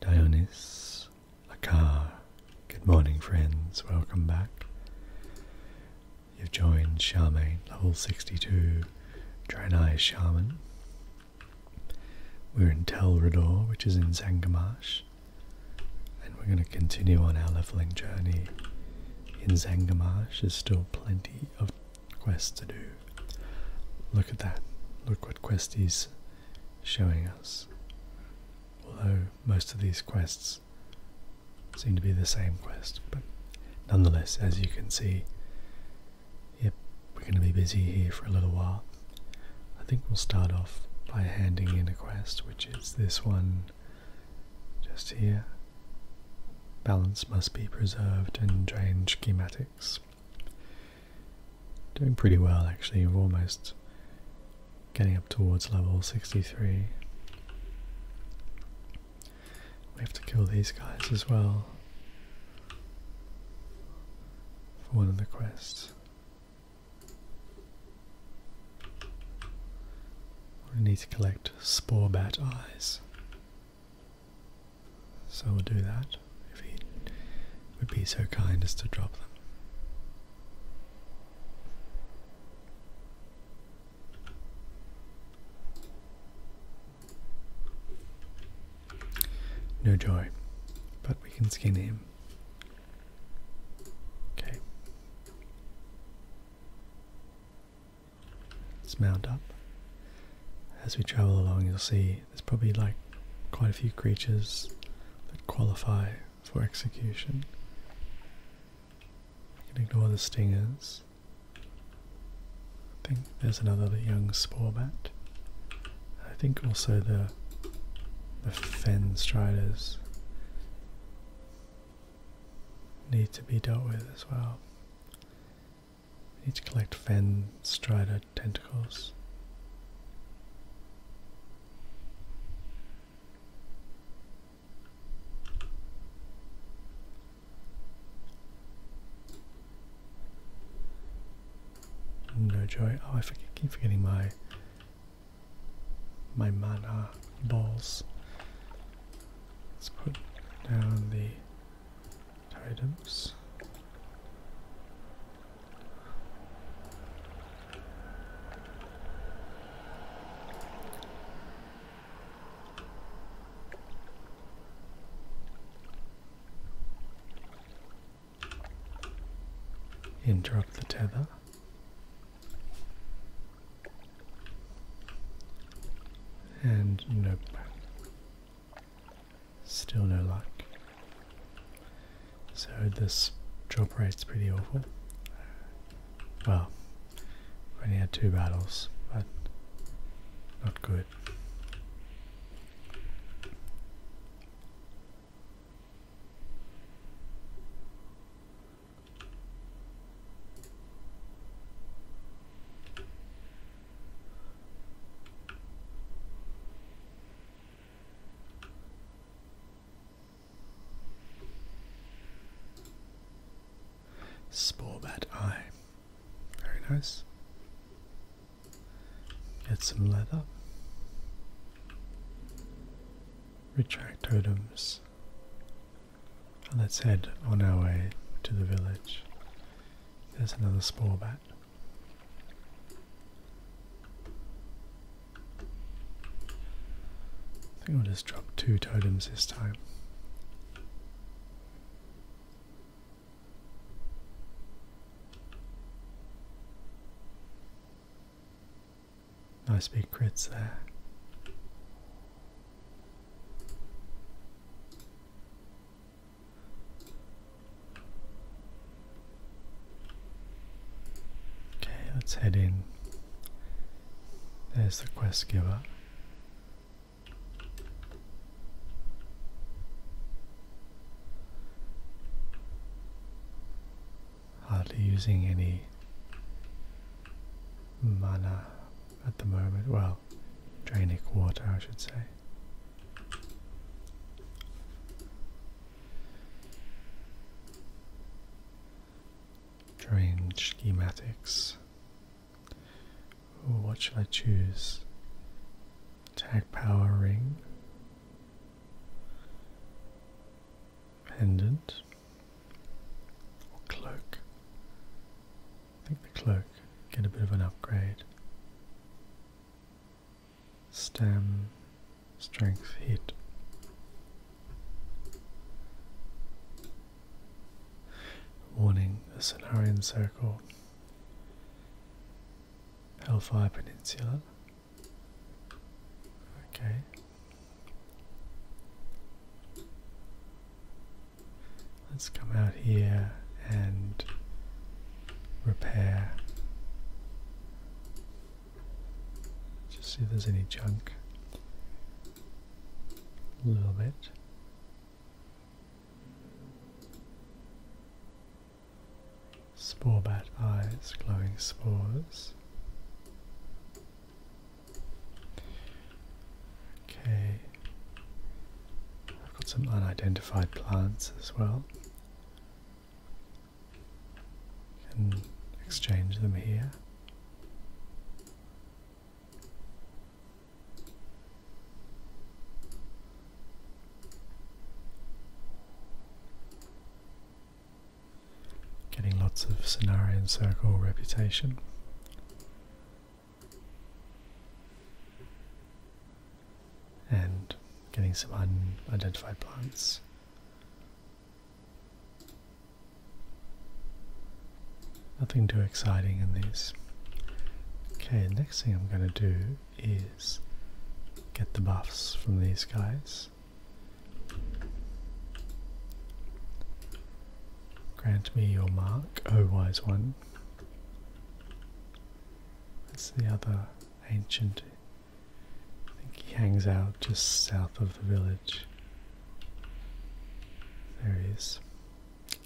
Dionys, Akar, good morning friends, welcome back. You've joined Charmaine, level 62, Draenei Shaman. We're in Telrador, which is in Zangamash, and we're going to continue on our leveling journey. In Zangamash, there's still plenty of quests to do. Look at that, look what questies showing us. Although most of these quests seem to be the same quest, but nonetheless, as you can see, yep, we're going to be busy here for a little while. I think we'll start off by handing in a quest, which is this one just here. Balance must be preserved and drain schematics. Doing pretty well actually, we're almost getting up towards level 63. We have to kill these guys as well for one of the quests. We need to collect spore bat eyes. So we'll do that if he would be so kind as to drop them. No joy, but we can skin him. Okay. Let's mount up. As we travel along, you'll see there's probably like quite a few creatures that qualify for execution. You can ignore the stingers. I think there's another young spore bat. I think also the the fen striders need to be dealt with as well. We need to collect fen Strider tentacles. No joy. Oh, I keep forgetting my my mana balls. Let's put down the items. Interrupt the tether. And nope. Still no luck. So this drop rate's pretty awful. Well, we only had two battles, but not good. Spore bat eye. Very nice. Get some leather. Retract totems. And let's head on our way to the village. There's another spore bat. I think I'll just drop two totems this time. Nice big crits there. Okay, let's head in. There's the quest giver. Hardly using any mana at the moment. Well, draining water, I should say. Drain schematics. what should I choose? Tag power ring. Pendant. Or cloak. think the cloak get a bit of an upgrade stem strength hit. Warning, the Cenarian Circle, Hellfire Peninsula. Okay. Let's come out here and repair just see if there's any junk. A little bit. Spore eyes, glowing spores. Okay. I've got some unidentified plants as well and exchange them here. Getting lots of scenario and circle reputation. And getting some unidentified plants. Nothing too exciting in these. Okay, next thing I'm going to do is get the buffs from these guys. Grant me your mark, O wise one. That's the other ancient I think he hangs out just south of the village. There he is.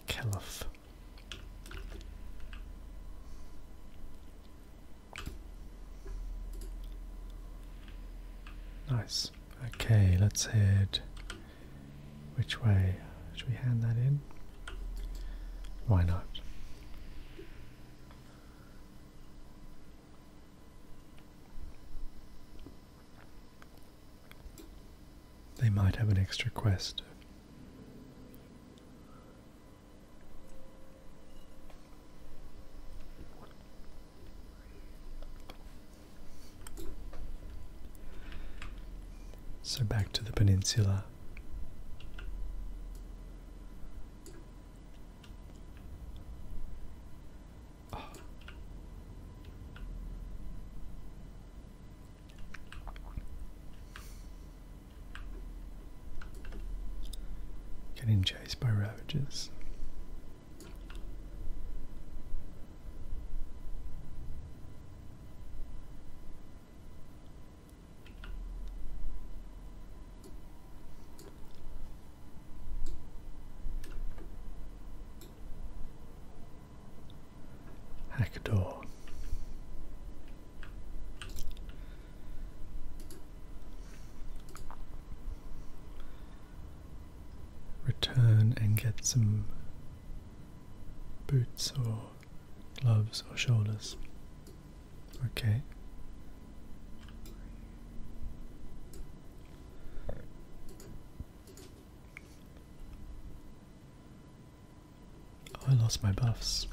Caliph. Nice. Okay, let's head. Which way? Should we hand that in? Why not? They might have an extra quest. So back to the peninsula. Getting chased by ravages. Hack door. Return and get some boots or gloves or shoulders. Okay. Oh, I lost my buffs.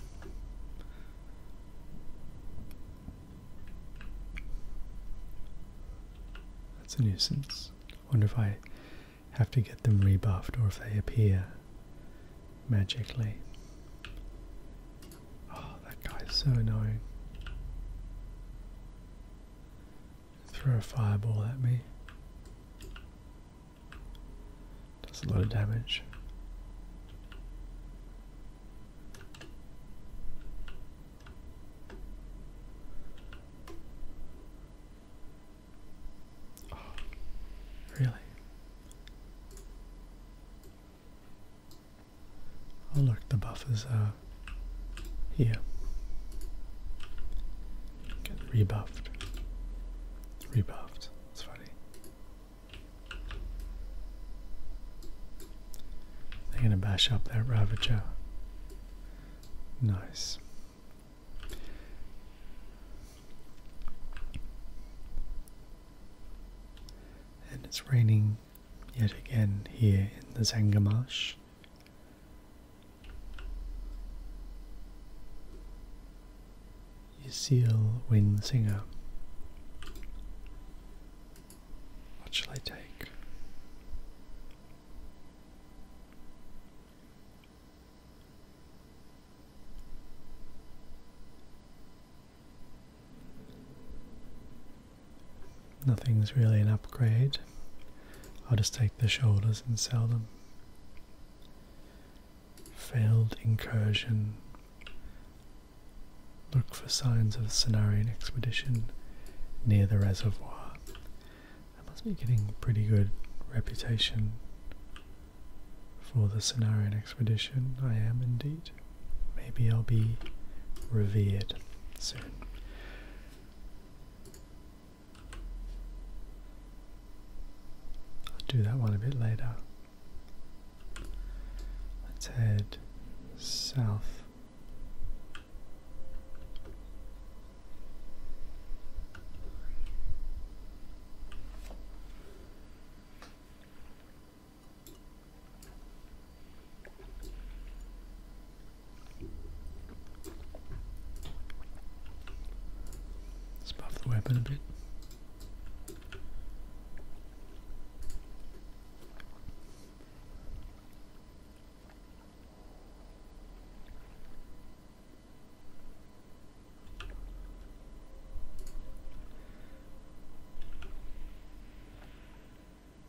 That's a nuisance. wonder if I have to get them rebuffed or if they appear magically. Oh, that guy's so annoying. Throw a fireball at me. Does a lot of damage. Oh, really? Oh look, the buffers are here. Get rebuffed. Rebuffed. It's funny. They're gonna bash up that Ravager. Nice. And it's raining yet again here in the Zangamash. Seal Wing Singer. What shall I take? Nothing's really an upgrade. I'll just take the shoulders and sell them. Failed incursion. Look for signs of the Cenarian expedition near the reservoir. I must be getting pretty good reputation for the Cenarian expedition. I am indeed. Maybe I'll be revered soon. I'll do that one a bit later. Let's head south let the weapon a bit.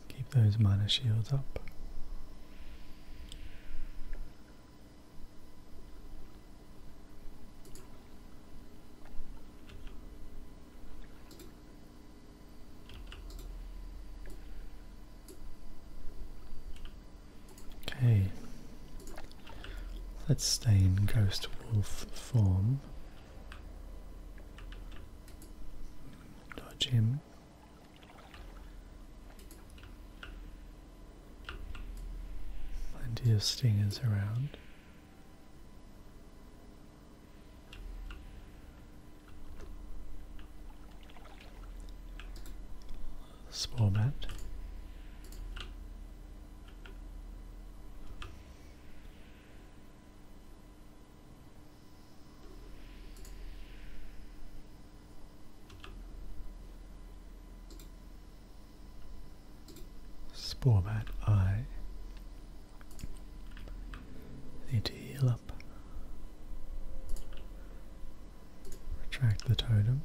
Keep those mana shields up. Okay, let's stay in Ghost Wolf form Dodge Plenty of stingers around. Small bat. Sportman, I need to heal up. Retract the totem.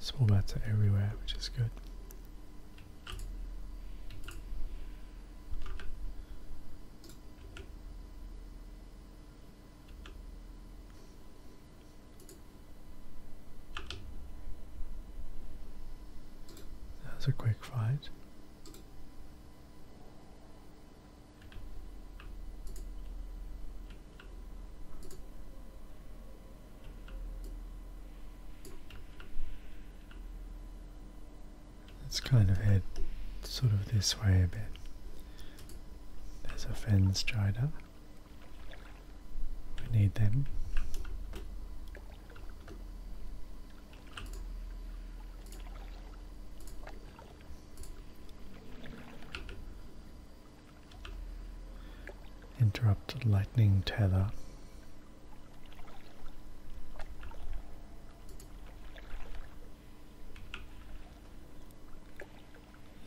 Small bats are everywhere, which is good. That's a quick fight. Let's kind of head sort of this way a bit. There's a fence strider. We need them. Interrupted lightning tether.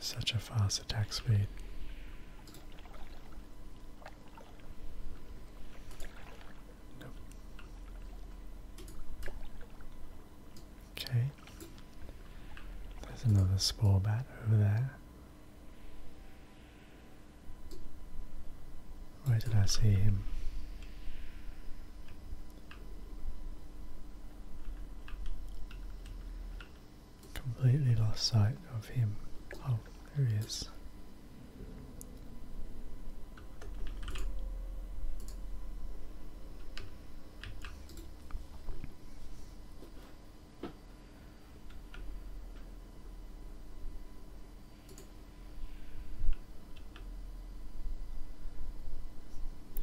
Such a fast attack speed. Okay. There's another spore bat over there. Where did I see him? Completely lost sight of him. Oh, there he is.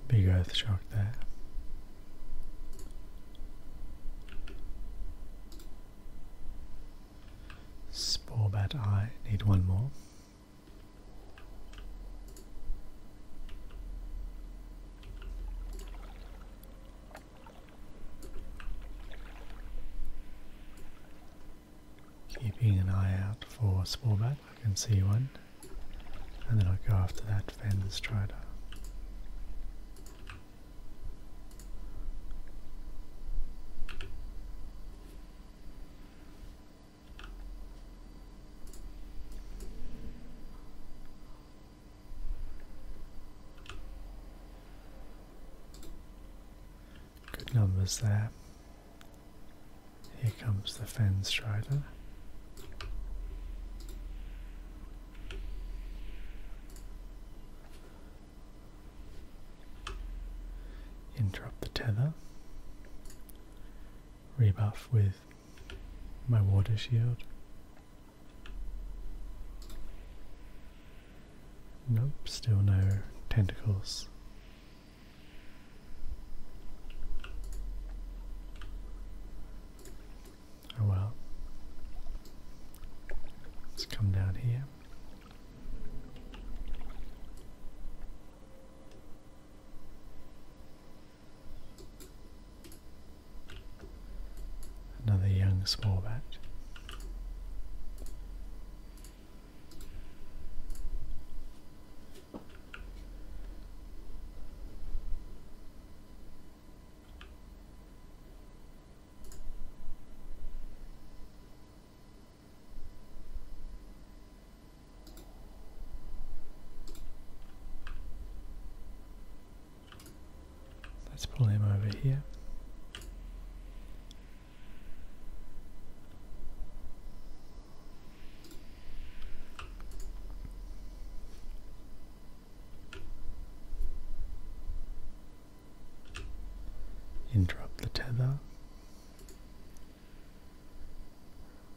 Big Earth Shark there. Spore bat eye, need one more keeping an eye out for smallback. I can see one, and then I'll go after that Fender Strider. Good numbers there. Here comes the Fen Strider. Interrupt the tether. Rebuff with my water shield. Nope, still no tentacles. Oh well. Let's come down here. Another young small bat. Let's pull him over here. Interrupt the tether.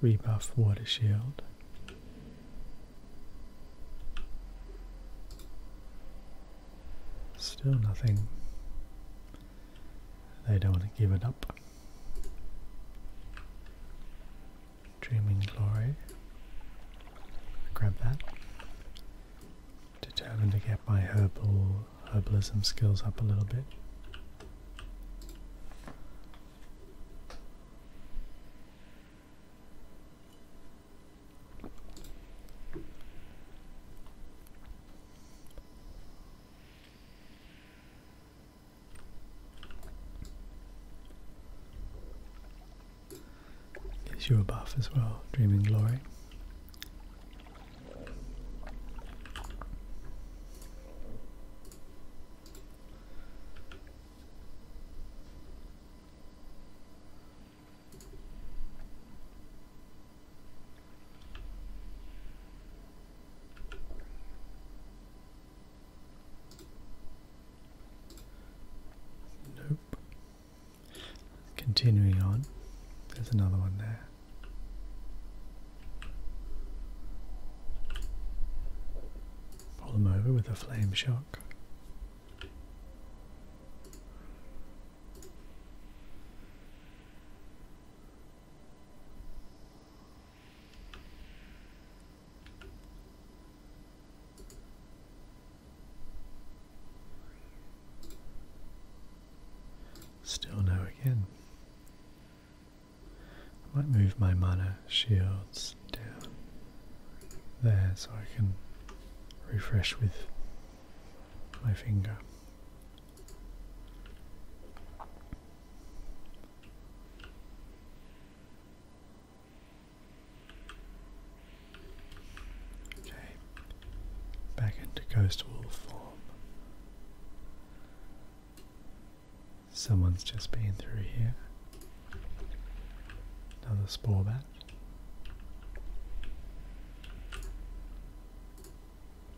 Rebuff water shield. Still nothing. They don't want to give it up. Dreaming Glory. Grab that. Determined to get my herbal herbalism skills up a little bit. Is you above as well, Dreaming Glory. Nope. Continuing on, there's another one there. Pull them over with a flame shock. Still no again. I might move my mana shields down there so I can refresh with my finger. Okay, back into coastal form. Someone's just been through here. Another spore bat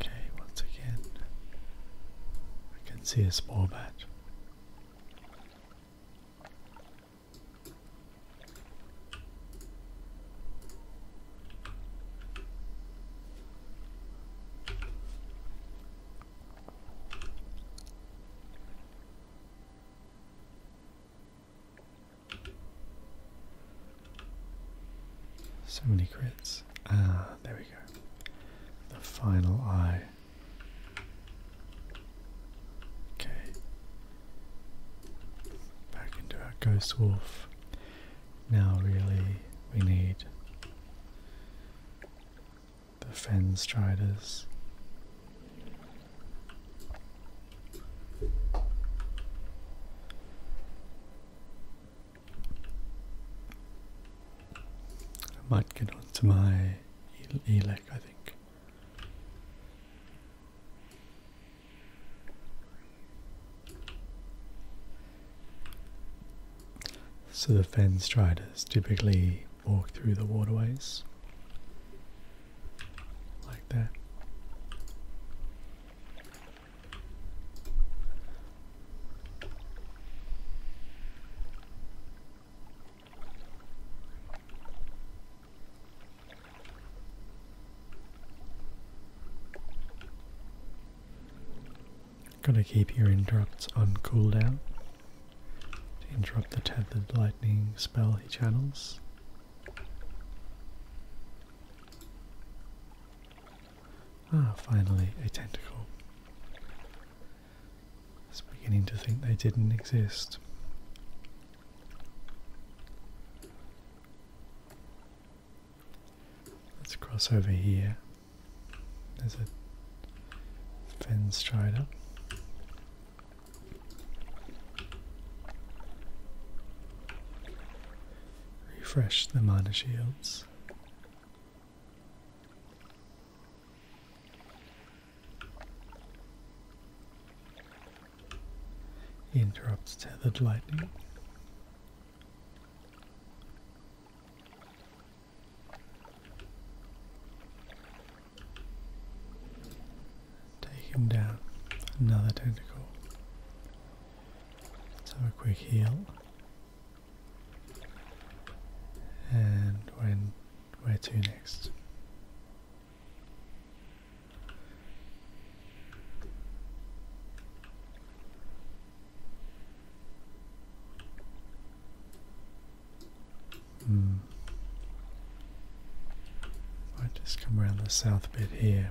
Okay, once again, I can see a small bat. So many crits. Ah, there we go. The final eye. Okay. Back into our ghost wolf. Now, really, we need the fen striders. I might get on to my Elec, I think. So the fen striders typically walk through the waterways like that. Gotta keep your interrupts on cooldown to interrupt the tethered lightning spell he channels. Ah, finally, a tentacle. I was beginning to think they didn't exist. Let's cross over here. There's a Fen Strider. Refresh the mana shields. He interrupts tethered lightly. Take him down. Another tentacle. Let's have a quick heal. And when where to next? Hmm. Might just come around the south bit here.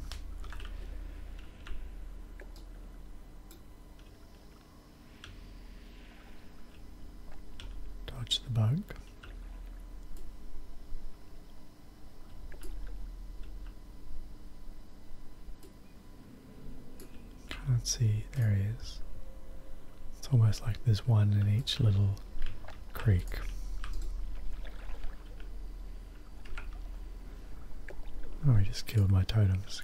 Dodge the bug. Let's see, there he is. It's almost like there's one in each little creek. Oh, he just killed my totems.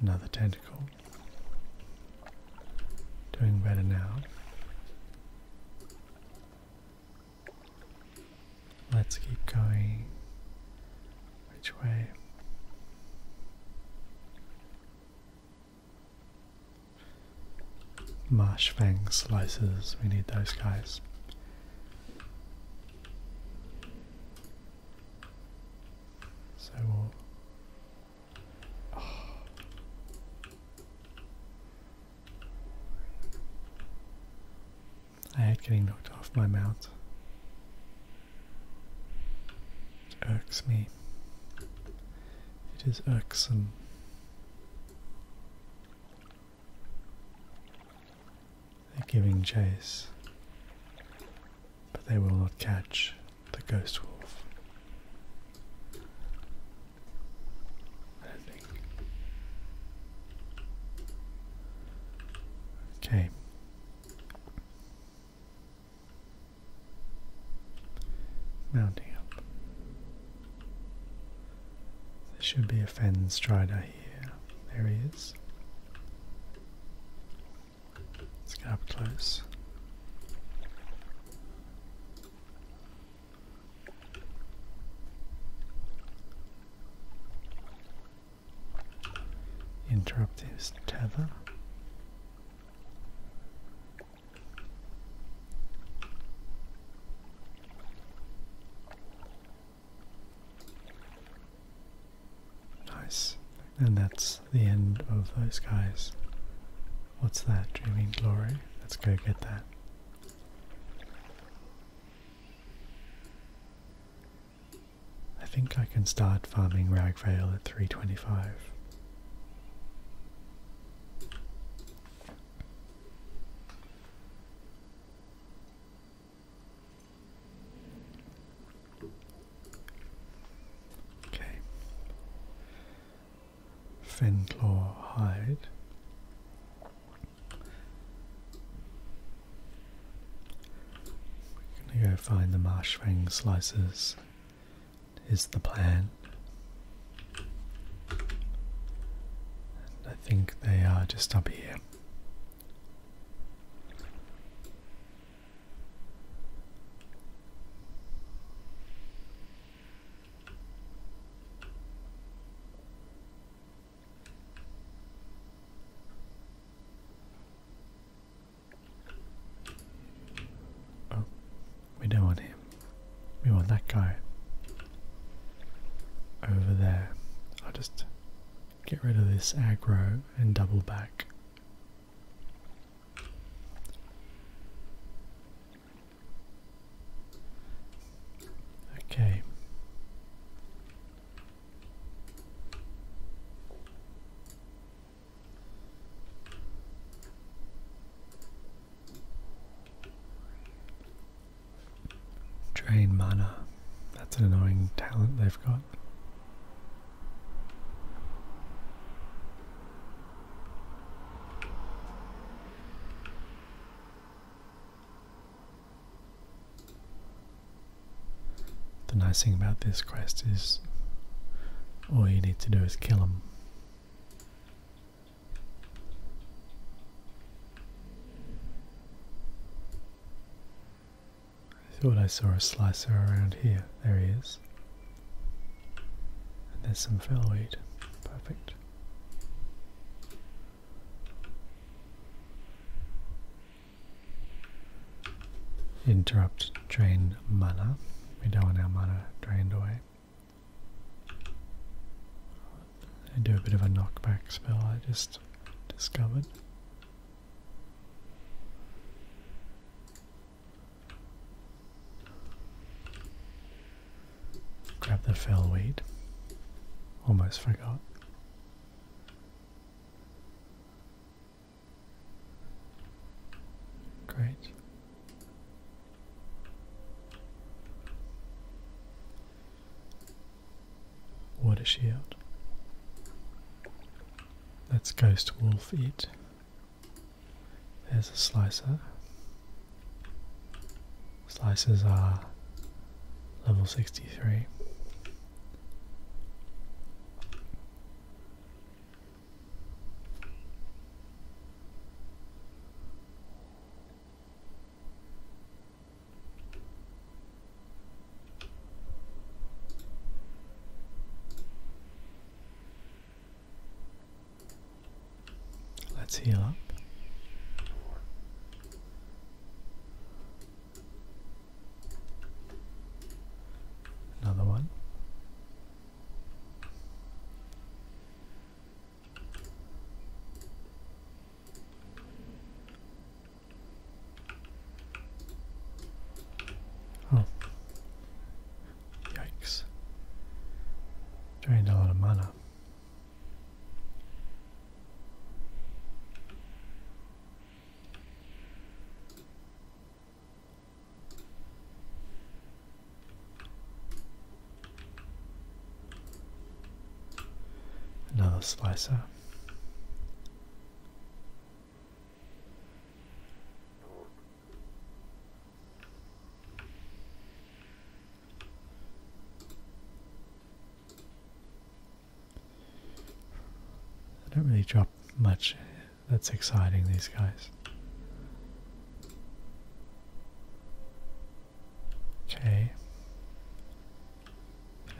Another tentacle. Doing better now. Let's keep going. Which way? Marsh fang slices, we need those guys. So I hate getting knocked off my mount. It irks me. It is irksome. They're giving chase, but they will not catch the ghost wolf. Okay. Mounting up. There should be a Fen Strider here. There he is. Let's get up close. Interrupt his tether. Nice. And that's the end of those guys. What's that? Dreaming Glory? Let's go get that. I think I can start farming Ragvale at 325. Okay. Fenclaw hide. We're gonna go find the marshfang slices. Is the plan? I think they are just up here. Oh, we don't want him. We want that guy over there. I'll just get rid of this aggro and double back. Okay. Drain mana. That's an annoying talent they've got. The nice thing about this quest is all you need to do is kill them. I thought I saw a slicer around here. There he is. And there's some phylloid. Perfect. Interrupt drain mana. We don't want our mana drained away. I do a bit of a knockback spell I just discovered. Grab the fell weight. Almost forgot. Great. What is she out? That's ghost wolf it. There's a slicer. Slices are level 63. Let's heal up. Another one. Oh, yikes! Drained a lot of mana. Another slicer. I don't really drop much that's exciting, these guys. Okay.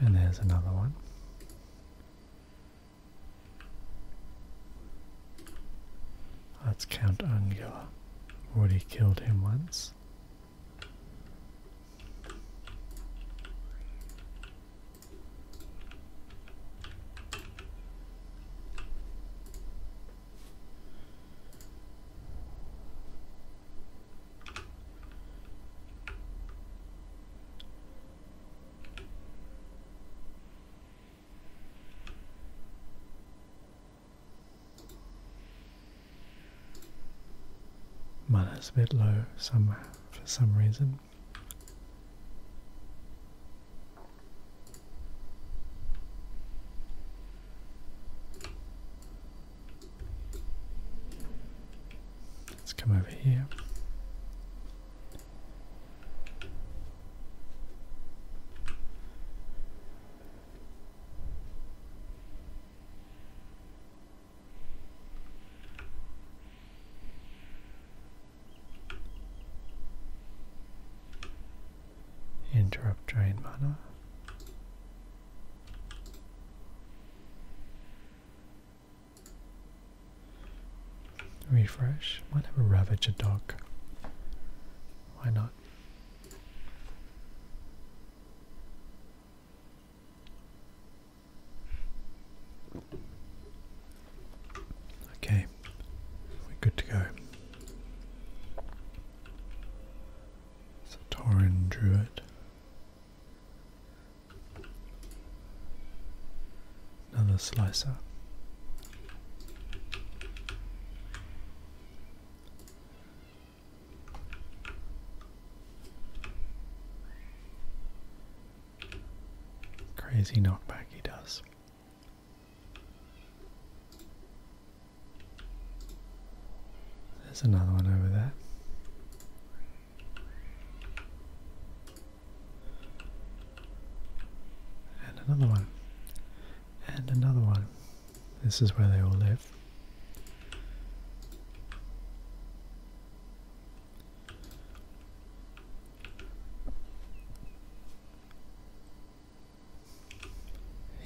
And there's another one. That's Count Angela. Already killed him once. Mine is a bit low somehow for some reason. Let's come over here. Interrupt drain mana. Refresh. Might have a Ravager dog. Why not? Okay, we're good to go. Satoran Druid. Another slicer. Crazy knockback he does. There's another one over there. And another one. And another one. This is where they all live.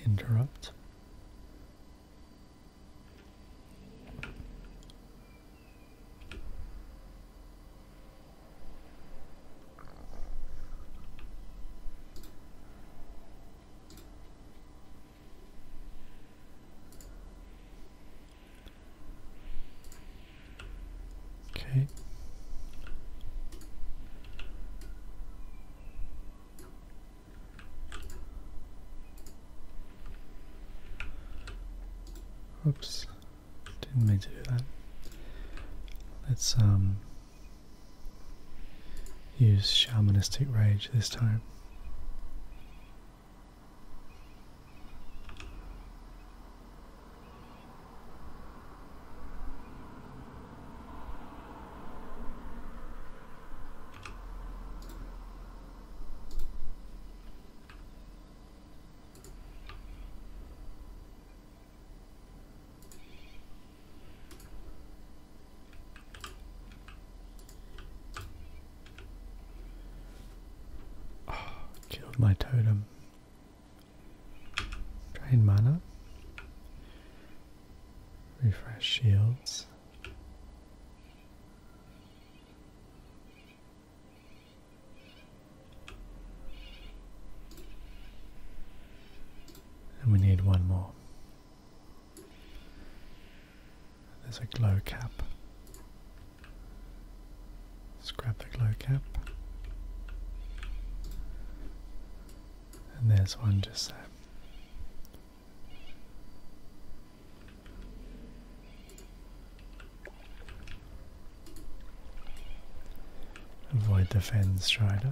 Interrupt. Okay. Oops, didn't mean to do that. Let's um Use shamanistic rage this time. Oh, killed my totem. Drain mana. Refresh shields. And we need one more. There's a glow cap. Let's grab the glow cap. And there's one just there. Avoid the Fens Strider.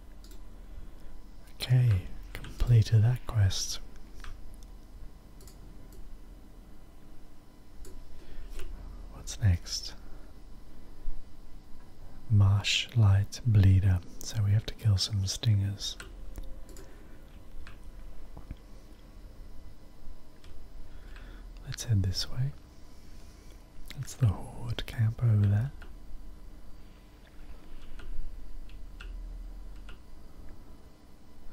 Okay, completed that quest. What's next? Marsh Light Bleeder. So we have to kill some stingers. Let's head this way. That's the horde camp over there.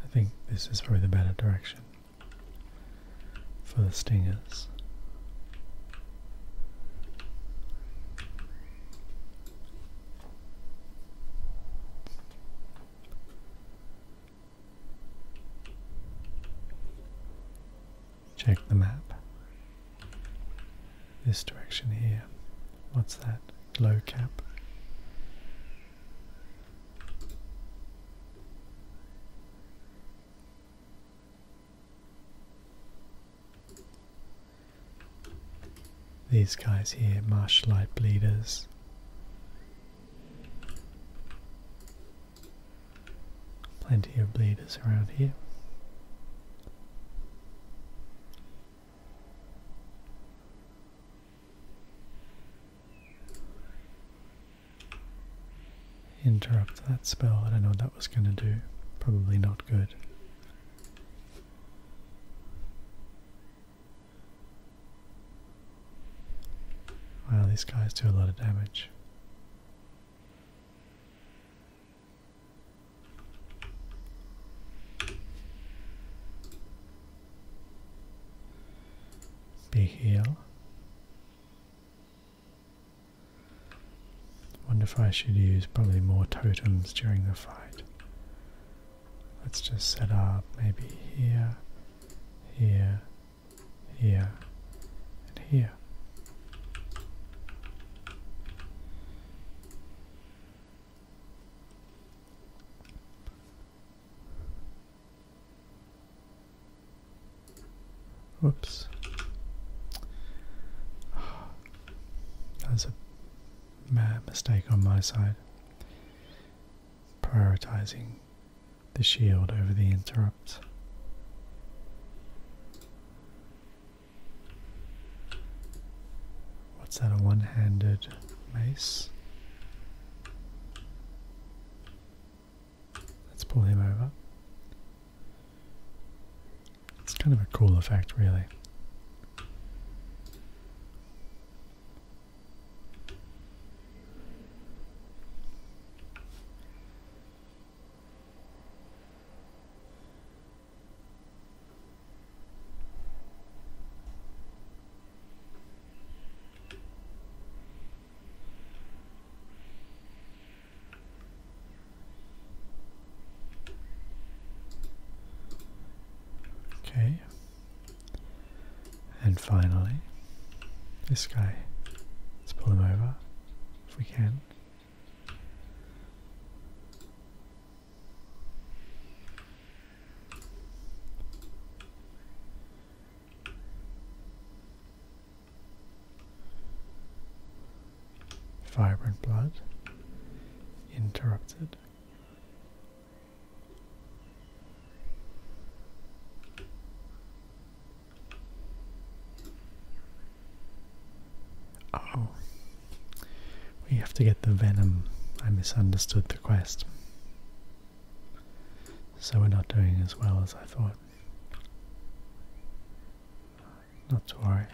I think this is probably the better direction for the stingers. Check the map this direction here. What's that? Low cap. These guys here, marsh light bleeders. Plenty of bleeders around here. Interrupt that spell. I don't know what that was going to do. Probably not good. Wow, these guys do a lot of damage. Be here. Wonder if I should use probably more totems during the fight. Let's just set up maybe here, here, here, and here. Whoops. That's a mad mistake on my side. Prioritizing the shield over the interrupt. What's that, a one handed mace? Let's pull him over. It's kind of a cool effect, really. Okay, and finally, this guy. Let's pull him over if we can. Vibrant blood interrupted. Oh, we have to get the venom. I misunderstood the quest. So we're not doing as well as I thought. Not to worry.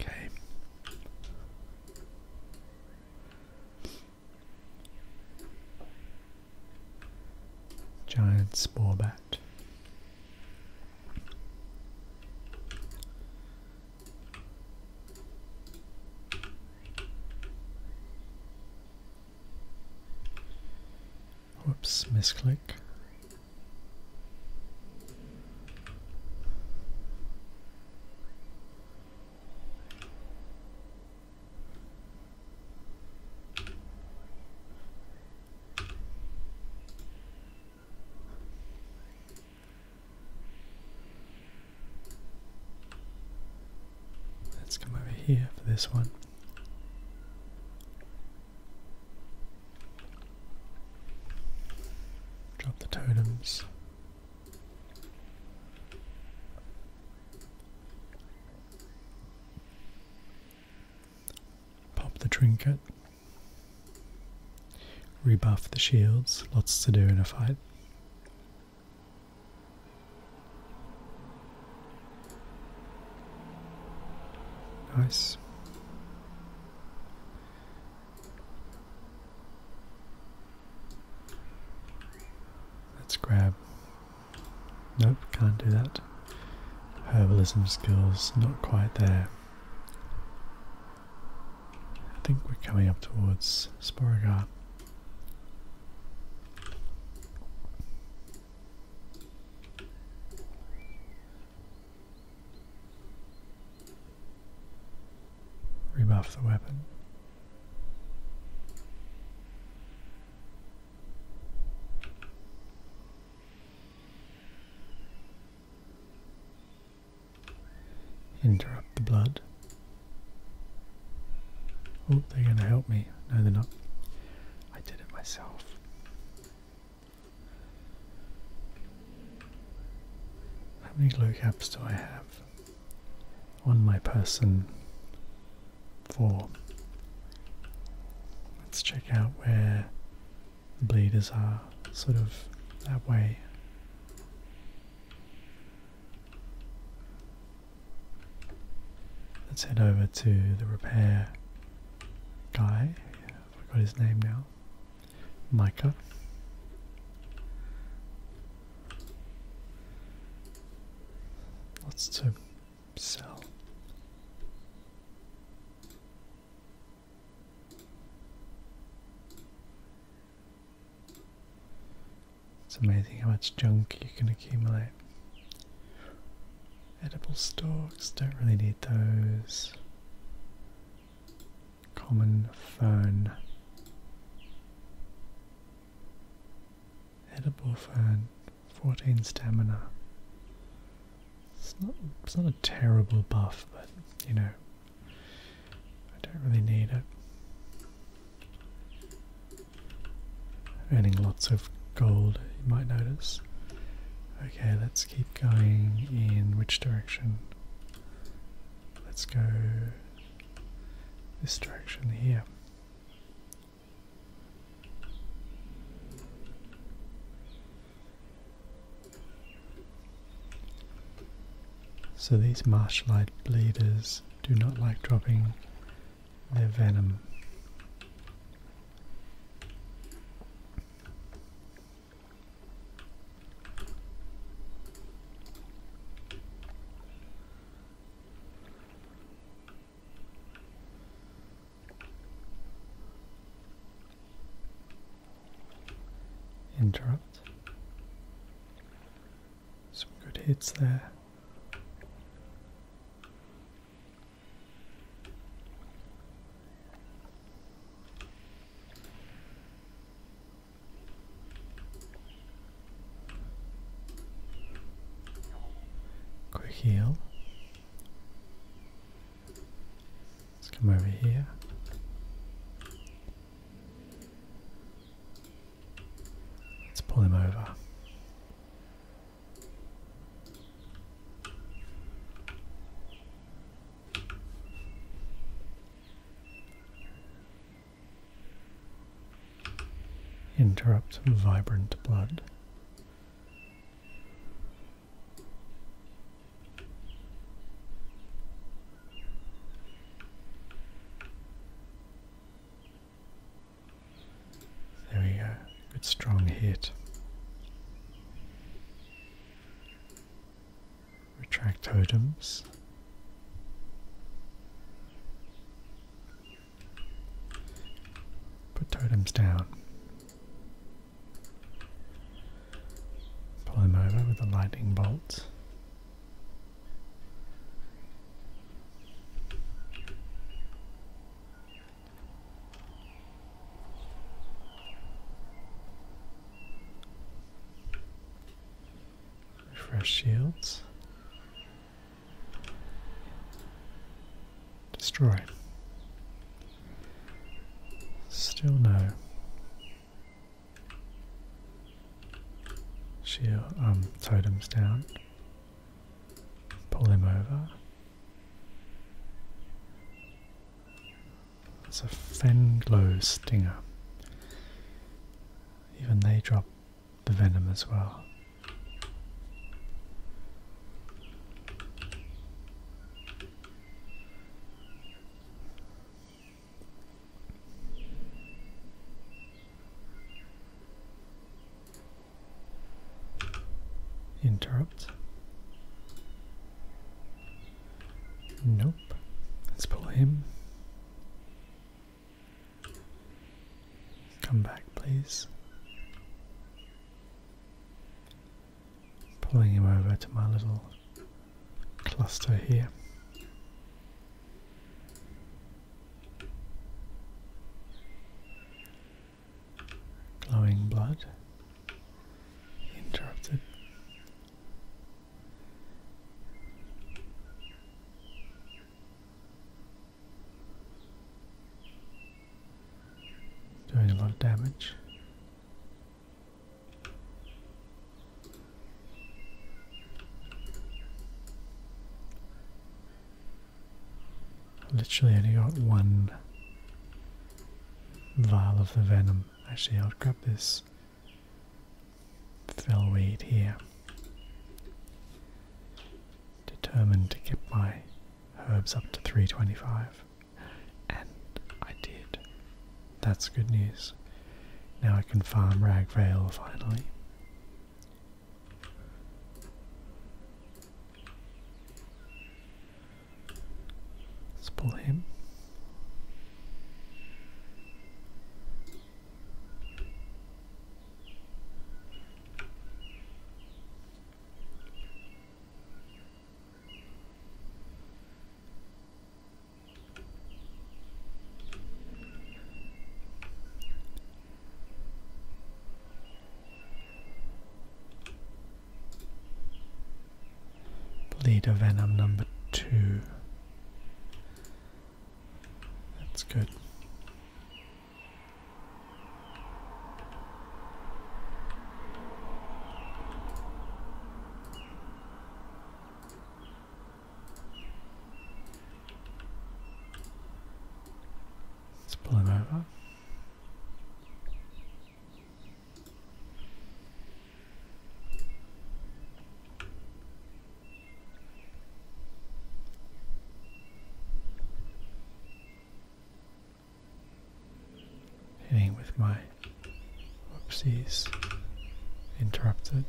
Okay. Giant bat. Whoops, misclick. Let's come over here for this one. Drop the totems. Pop the trinket. Rebuff the shields. Lots to do in a fight. Nice. Let's grab Nope, can't do that. Herbalism skills, not quite there. I think we're coming up towards Sporogar. Rebuff the weapon. Interrupt the blood. Oh, they're going to help me. No, they're not. I did it myself. How many glow caps do I have on my person? 4. Let's check out where the bleeders are, sort of that way. Let's head over to the repair guy. Yeah, I forgot his name now. Micah. Lots to so. It's amazing how much junk you can accumulate. Edible stalks, don't really need those. Common fern. Edible fern, 14 stamina. It's not, it's not a terrible buff, but you know, I don't really need it. Earning lots of gold, you might notice. Okay, let's keep going in which direction? Let's go this direction here. So these marshlight bleeders do not like dropping their venom. Interrupt. Some good hits there. Quick heal. Let's come over here. Let's pull him over. Interrupt vibrant blood. There we go. Good strong hit. Retract totems. Put totems down. Pull him over with the lightning bolts. Refresh shields. Destroy. Still no. Shield, um, totems down. Pull him over. It's a Fenglow stinger. Even they drop the venom as well. Interrupt. Nope. Let's pull him. Come back, please pulling him over to my little cluster here. Glowing blood. Interrupted. Doing a lot of damage. Literally only got one vial of the venom. Actually, I'll grab this fellweed here. Determined to keep my herbs up to 325. And I did. That's good news. Now I can farm Ragvale finally. Let's pull him of Venom number two. That's good. Let's pull him over. Hitting with my whoopsies. Interrupted.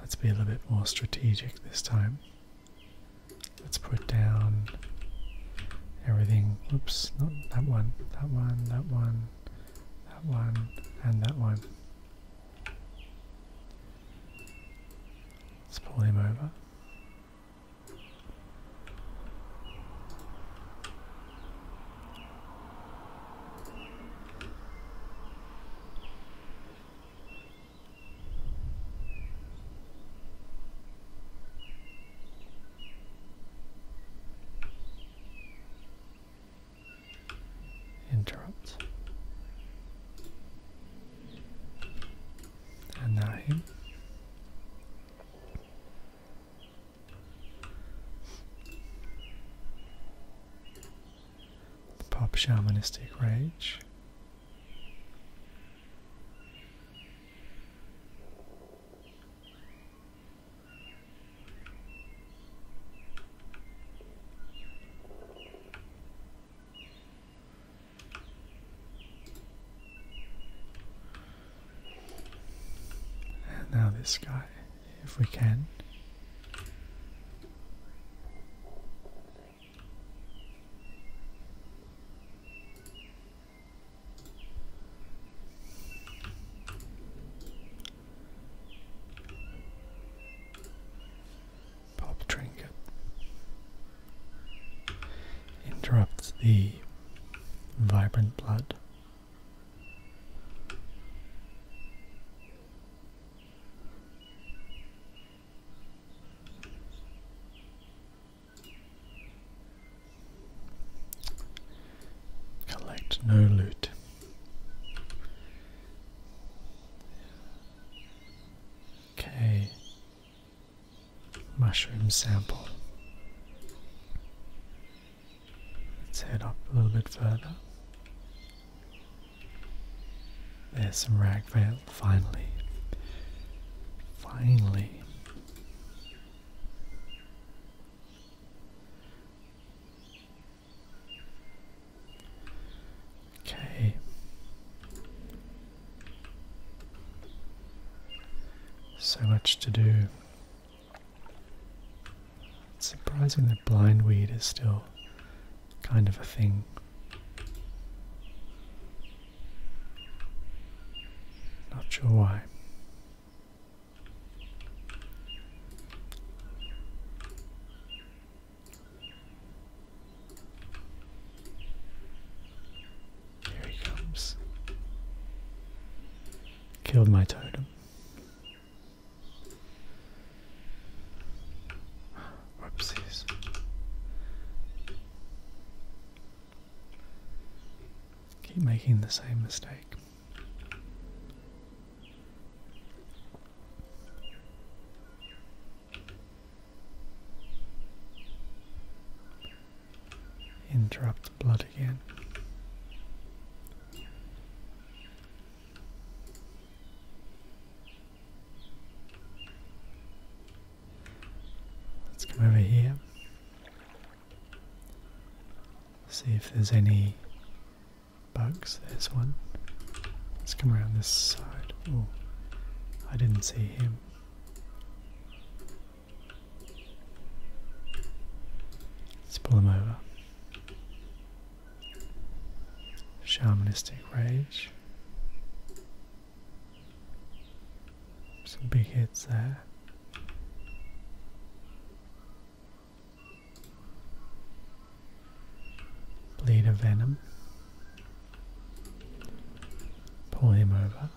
Let's be a little bit more strategic this time. Let's put down everything. Whoops! not that one, that one, that one, that one, and that one. Let's pull him over. Interrupt. And now him. Pop shamanistic rage. And now this guy, if we can. Pop trinket interrupts the vibrant blood. Collect no loot. Okay. Mushroom sample. Let's head up a little bit further. There's some rag finally. Finally. Okay. So much to do. surprising that blindweed is still kind of a thing. Not sure why. Here he comes. Killed my totem. Whoopsies. Keep making the same mistake. Interrupt the blood again. Let's come over here. See if there's any bugs. There's one. Let's come around this side. Oh, I didn't see him. Let's pull him over. Shamanistic Rage. Some big hits there. Blade of Venom. Pull him over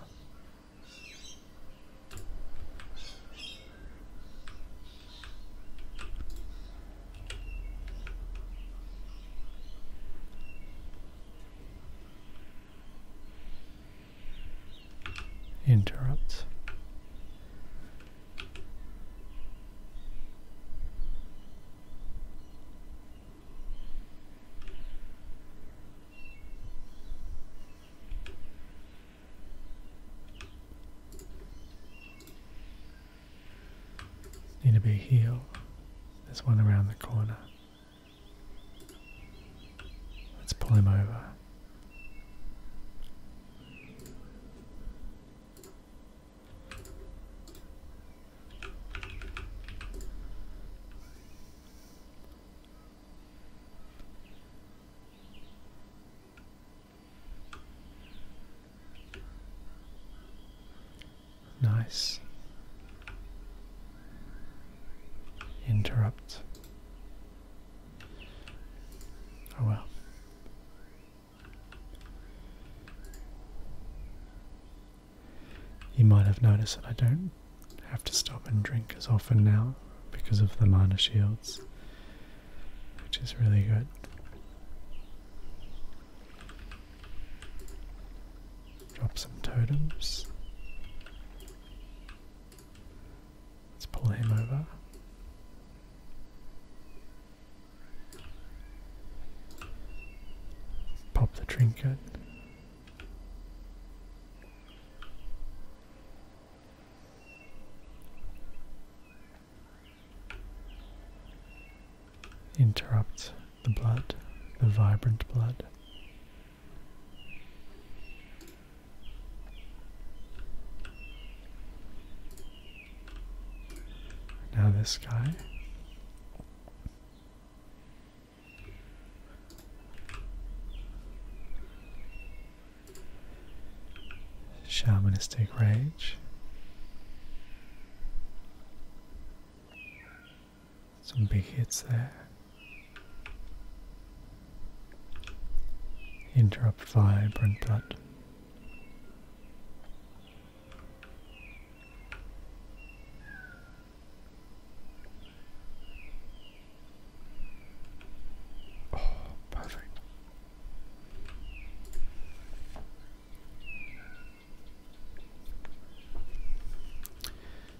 interrupts. Need a big heal. There's one around the corner. Let's pull him over. Nice. Interrupt. Oh well. You might have noticed that I don't have to stop and drink as often now because of the mana shields, which is really good. Drop some totems. Let's pull him over. Pop the trinket. Interrupts the blood, the vibrant blood. Now this guy. Shamanistic Rage. Some big hits there interrupt vibrant blood. Oh, perfect.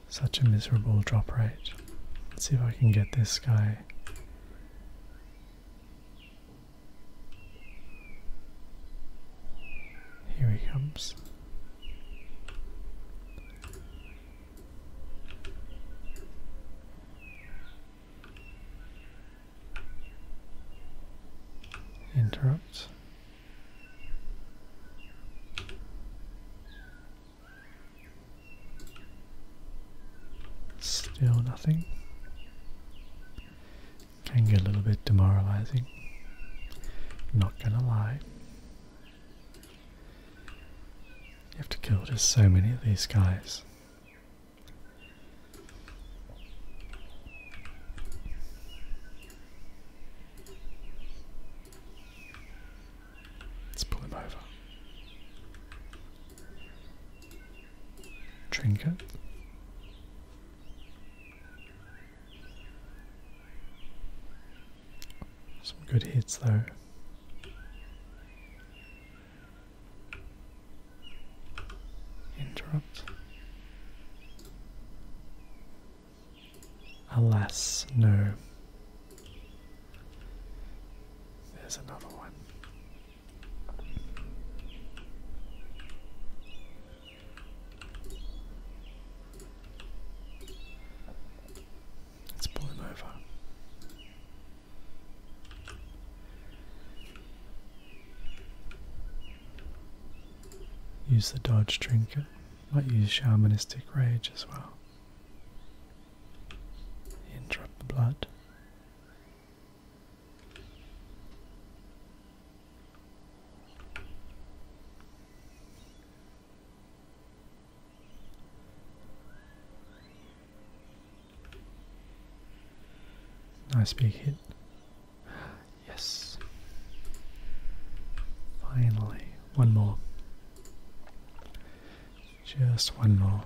Such a miserable drop rate. Let's see if I can get this guy here he comes. Interrupt. Still nothing. Can get a little bit demoralizing. Not gonna lie. You have to kill just so many of these guys. Let's pull him over trinket. Some good hits though. Interrupt. Alas, no. There's another one. Let's pull him over. Use the dodge trinket. Might use shamanistic rage as well. Interrupt the blood. Nice big hit. Yes. Finally, one more. Just one more.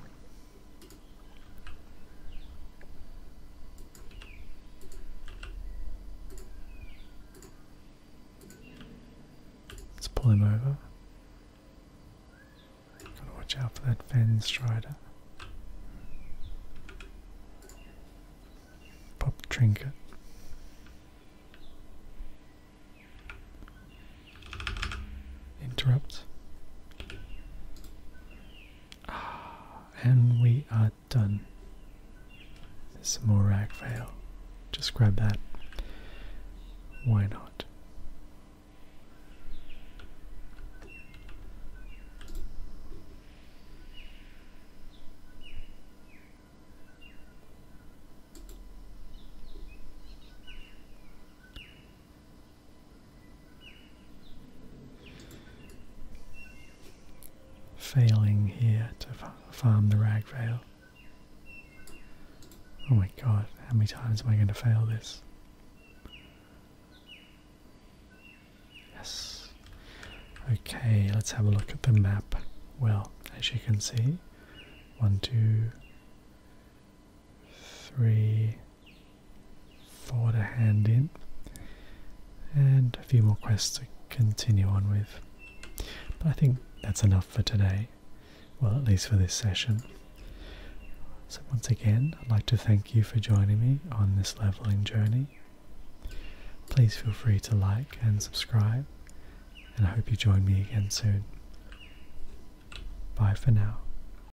Let's pull him over. Gotta watch out for that fence strider. Pop trinket. Interrupt. and we are done. There's some more rag veil. Just grab that. Why not? Failing here to farm the ragvale. Oh my god, how many times am I going to fail this? Yes. Okay, let's have a look at the map. Well, as you can see, one, two, three, four to hand in, and a few more quests to continue on with. But I think that's enough for today, well, at least for this session. So, once again, I'd like to thank you for joining me on this leveling journey. Please feel free to like and subscribe, and I hope you join me again soon. Bye for now.